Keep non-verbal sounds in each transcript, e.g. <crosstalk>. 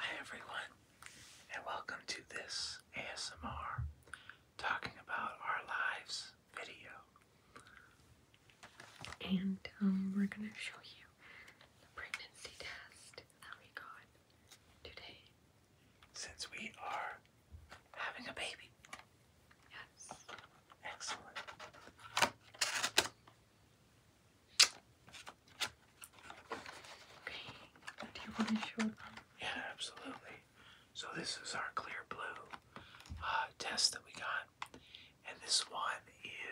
Hi everyone, and welcome to this ASMR talking about our lives video. And um, we're gonna show you the pregnancy test that we got today since we are having a baby. Yes. Excellent. Okay. Do you want to show them? Yeah, absolutely. So this is our clear blue uh, test that we got, and this one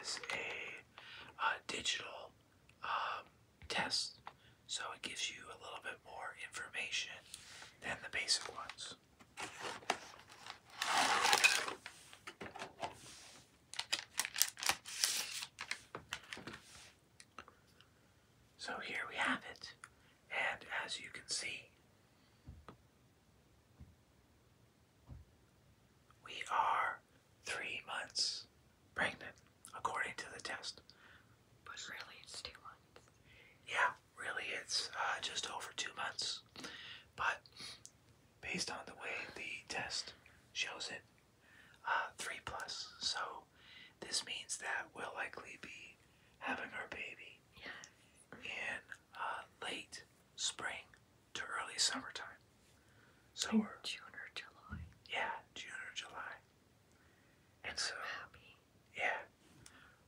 is a uh, digital um, test. So it gives you a little bit more information than the basic ones. So here we have it, and as you can see, we are three months pregnant according to the test. But really, it's two months. Yeah, really, it's uh, just over two months. But based on the way the test shows it, uh, three plus. So this means that we'll likely be having our baby yes. in uh, late spring to early summertime. Summer. June or July. Yeah, June or July. And so, happy. yeah,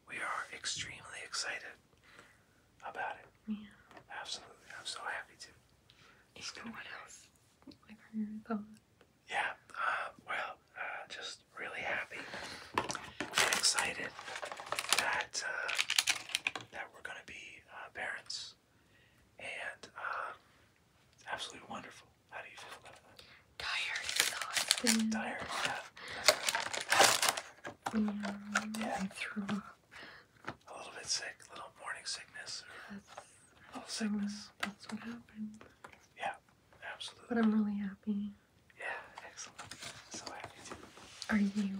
we are extremely excited about it. Yeah. Absolutely. I'm so happy to. It's no one else? Like our thoughts. Yeah. Uh, well, uh, just really happy and excited that uh, that we're going to be uh, parents, and uh, it's absolutely wonderful. Tired is Tired, mm. yeah. I mm. threw up. A little bit sick, little morning sickness. that's, a sickness. that's what happened. Yeah, absolutely. But I'm really happy. Yeah, excellent. So happy too. Are you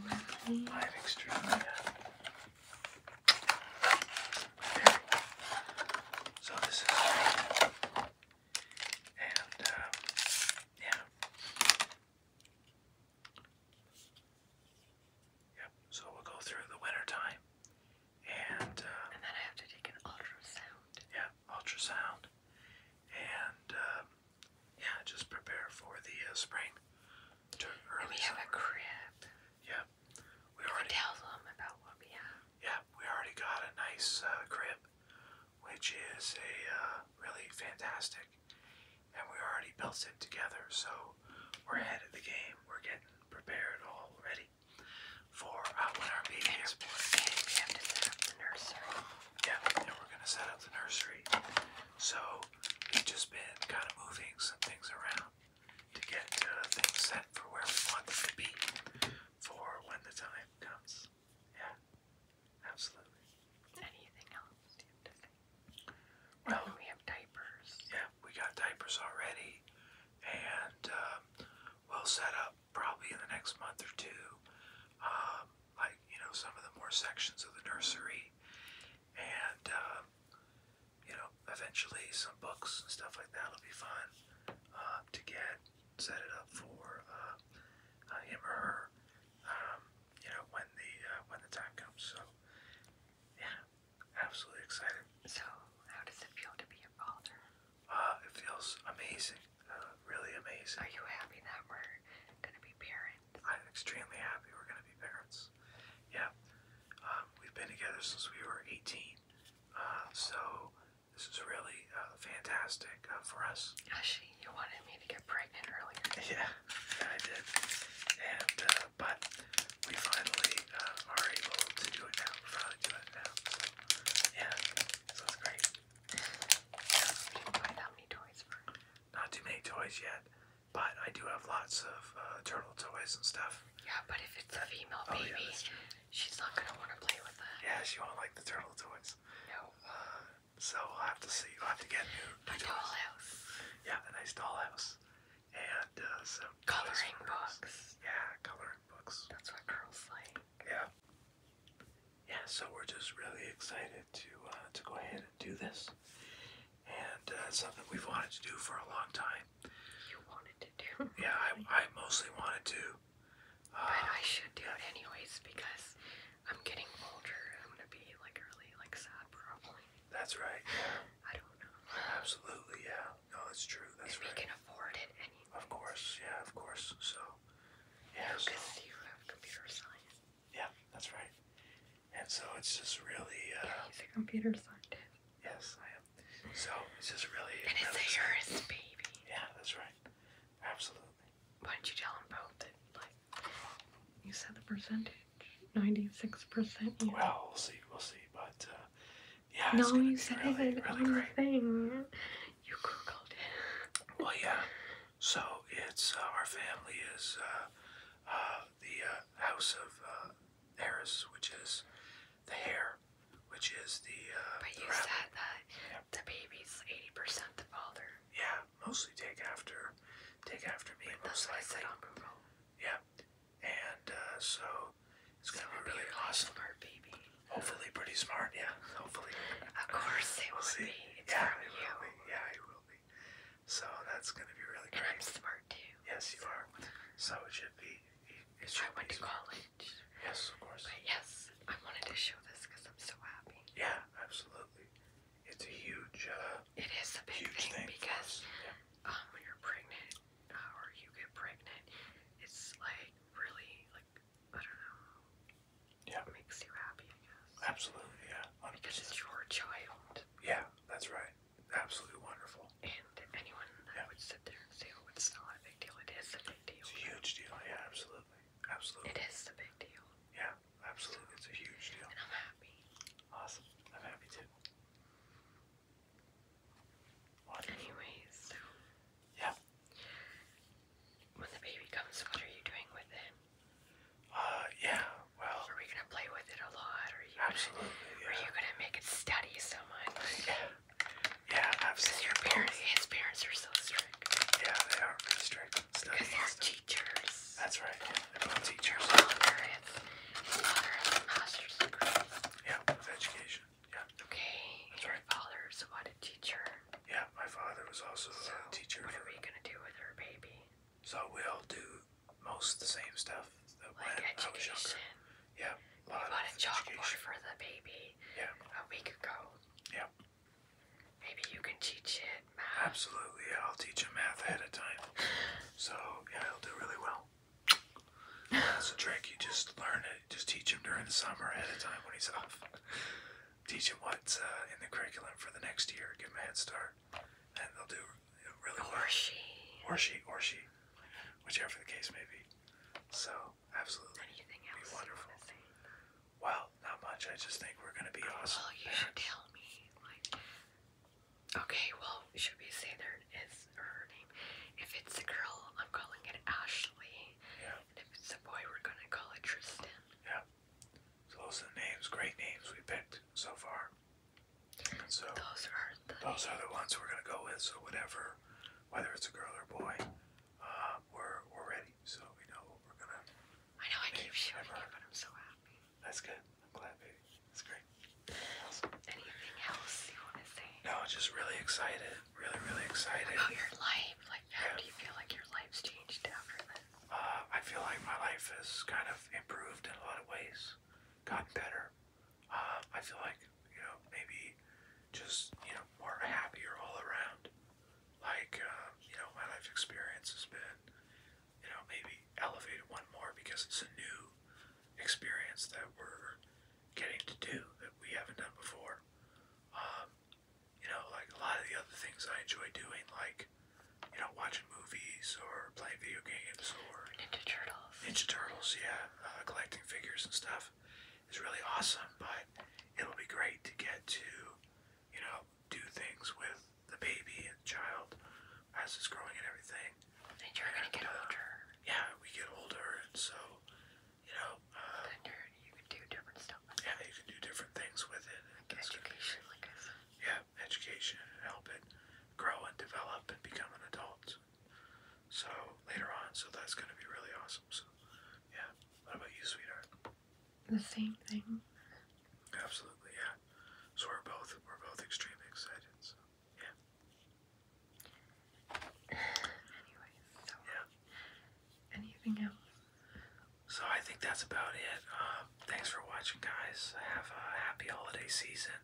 I'm extremely so this is and um, yeah. Yep, so we'll go through the winter time. And um, And then I have to take an ultrasound. Yeah, ultrasound. And um, yeah, just prepare for the uh, spring we have a crib. Yeah, we already Yeah, we already got a nice uh, crib, which is a uh, really fantastic, and we already built it together. So we're ahead of the game. We're getting prepared already for uh, our baby And we Yeah, and we're gonna set up the nursery. So we've just been kind of moving some things around to get uh, things set for where we want them to be for when the time comes. Yeah, absolutely. Anything else Well, oh, we have diapers. Yeah, we got diapers already, and um, we'll set up probably in the next month or two, um, like you know, some of the more sections of the nursery, and um, you know, eventually some books and stuff like that will be fun um, to get, set it up for uh, uh, him or her, um, you know, when the uh, when the time comes. So, yeah, absolutely excited. So, how does it feel to be a father? Uh, it feels amazing, really amazing. Are you happy that we're gonna be parents? I'm extremely happy we're gonna be parents. Yeah. Um, we've been together since we were 18. Uh, so this is really uh, fantastic uh, for us. Actually, you wanted me to get pregnant earlier. <laughs> Yeah, I did. And but we finally are able to do it now. finally do it now. yeah, so it's great. You can buy how many toys for? Not too many toys yet, but I do have lots of turtle toys and stuff. Yeah, but if it's a female oh, baby, she's not gonna want to play with that. Yeah, she won't like the turtle toys. No. Uh, so I'll have to see. I'll have to get new, dollhouse. Yeah, a nice dollhouse, and uh, some coloring books. Yeah, coloring books. That's what girls like. Yeah. Yeah, so we're just really excited to uh, to go ahead and do this, and uh, something we've wanted to do for a long time. You wanted to do? Yeah, I, I mostly wanted to. but uh, I should do it anyways because I'm getting older. I'm gonna be like really like sad probably. That's right. I don't know. Absolutely, yeah. No, that's true. if right. can afford it, anyway. Of course, yeah, of course. So, yeah. Because no, you have computer science. Yeah, that's right and so it's just really. Uh, yeah, he's a computer scientist. Yes, I am. So it's just really. And really it's yours, baby. Yeah, that's right. Absolutely. Why do not you tell him both that, like, you said the percentage? 96%. Well, we'll see, we'll see. But, uh, yeah, no, you said really, it really great. thing. You Googled it. Well, yeah. So it's uh, our family is uh, the house of. Harris, which is the hair, which is the. Uh, but you said that the baby's eighty percent the father. Yeah, mostly take after, take after me. Wait, most that's likely. what I said on Yeah, and uh, so it's gonna be really, really awesome. Smart baby. Hopefully, pretty smart. Yeah, hopefully. of course, it will we be. yeah, it will be. Yeah, it will be. So that's going to be really great. smart too. Yes, you are. So it should be. It should I went to college. Yes, of course. yes, I wanted to show this because I'm so happy. Yeah, absolutely. It's a huge. Uh, it is a big thing, because um, when you're pregnant uh, or you get pregnant, it's like really like I don't know. Yeah. It makes you happy, I guess. Absolutely, yeah. Because it's your child. Yeah, that's right absolutely wonderful. And anyone I would sit there and say, "Oh, it's not a big deal." It is a big deal. It's a huge deal. Yeah, absolutely, absolutely. It is a big deal. Yeah, absolutely. It's a huge deal. And I'm happy. Awesome. I'm happy too. Wonderful. Anyways, so yeah. When the baby comes, what are you doing with it? Uh, yeah, well. Are we gonna play with it a lot? absolutely. yeah. Are you gonna make it study so much? Yeah. Yeah, absolutely. his parents are so strict. Yeah, they are strict. Because they're stuff. teachers. That's right. Yeah, they're both teachers. Your father his father has a master's degree. Yeah, with education. Yeah. Okay. That's right. Your father is what a teacher. Yeah, my father was also a teacher. What are we gonna do with her baby? So we all do most the same stuff that Yeah. A lot we bought a education. for the baby yeah. a week ago. Yeah. Maybe you can teach it math. Absolutely, I'll teach him math ahead of time. <laughs> So yeah, he'll do really well. That's a trick. You just learn it. Just teach him during the summer ahead of time when he's off. Teach him what's uh, in the curriculum for the next year. Give him a head start and they'll do really or well. Or she. Or she. Or she. Whichever the case may be. So absolutely. Anything else? Be wonderful. Well, not much. I just think we're gonna be oh, awesome. Well, you should tell me. Like, okay. Well, should we say there is her name? If it's a girl, I'm calling it Ashley. Yeah. And if it's a boy, we're gonna call it Tristan. Yeah. So those are the names, great names we picked so far those are the, those are the ones we're gonna go with. So whatever, whether it's a girl or boy, uh, we're we're ready. So we know what we're gonna. I know I keep showing you, but I'm so happy. That's good. I'm glad, baby. That's great. Anything else you want to say? No, just really excited. Really, really excited. your life. Like, how do you feel like your life's changed after this? uh, I feel like my life has kind of improved in a lot of ways, gotten better. Uh, I feel like, you know, maybe just, you know, more happier all around. Like, uh, you know, my life experience has been, you know, maybe elevated one more because it's a new experience that we're getting to do that we haven't done before. Um, you know, like a lot of the other things I enjoy doing, like you know, watching movies or playing video games or Ninja Turtles. Ninja Turtles, yeah, uh, collecting figures and stuff is really awesome. But it'll be great to get to, you know, do things with the baby and child as it's growing and everything. And you're and, gonna get uh, older. Yeah, we get older, and so you know. Uh, then you can do different stuff. With yeah, it. you can do different things with it. Like education, like I said. Yeah, education and help it grow and develop and become an adult. So later on, so that's gonna be really awesome. So yeah. What about you, sweetheart? The same thing. Absolutely, yeah. So we're both we're both extremely excited. So yeah. <sighs> Anyways, so yeah. anything else? So I think that's about it. Um, thanks for watching, guys. Have a happy holiday season.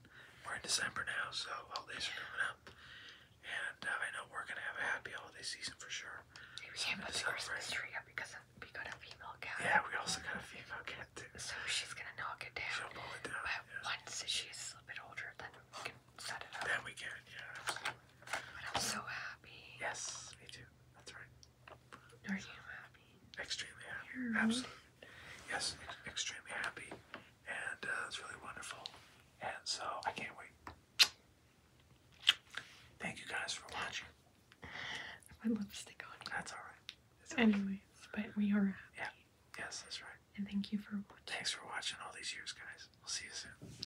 We're in December now, so holidays are coming up. And uh, I know we're gonna have a happy holiday season for sure. We can't put the Christmas tree up because we got a female cat. Yeah, we also got a female cat So she's gonna knock it down. She'll pull it down. But yeah. once she's a little bit older, then we can set it up. Then we can, yeah. I'm so happy. Yes, me too. That's right. Are you Extremely happy. Absolutely. Yes, extremely happy. And uh, it's really wonderful. And so I can't wait. Thank you guys for watching. My lipstick on That's alright. Okay. but we are happy. Yeah. Yes, that's right. And thank you for watching. Thanks for watching all these years, guys. We'll see you soon.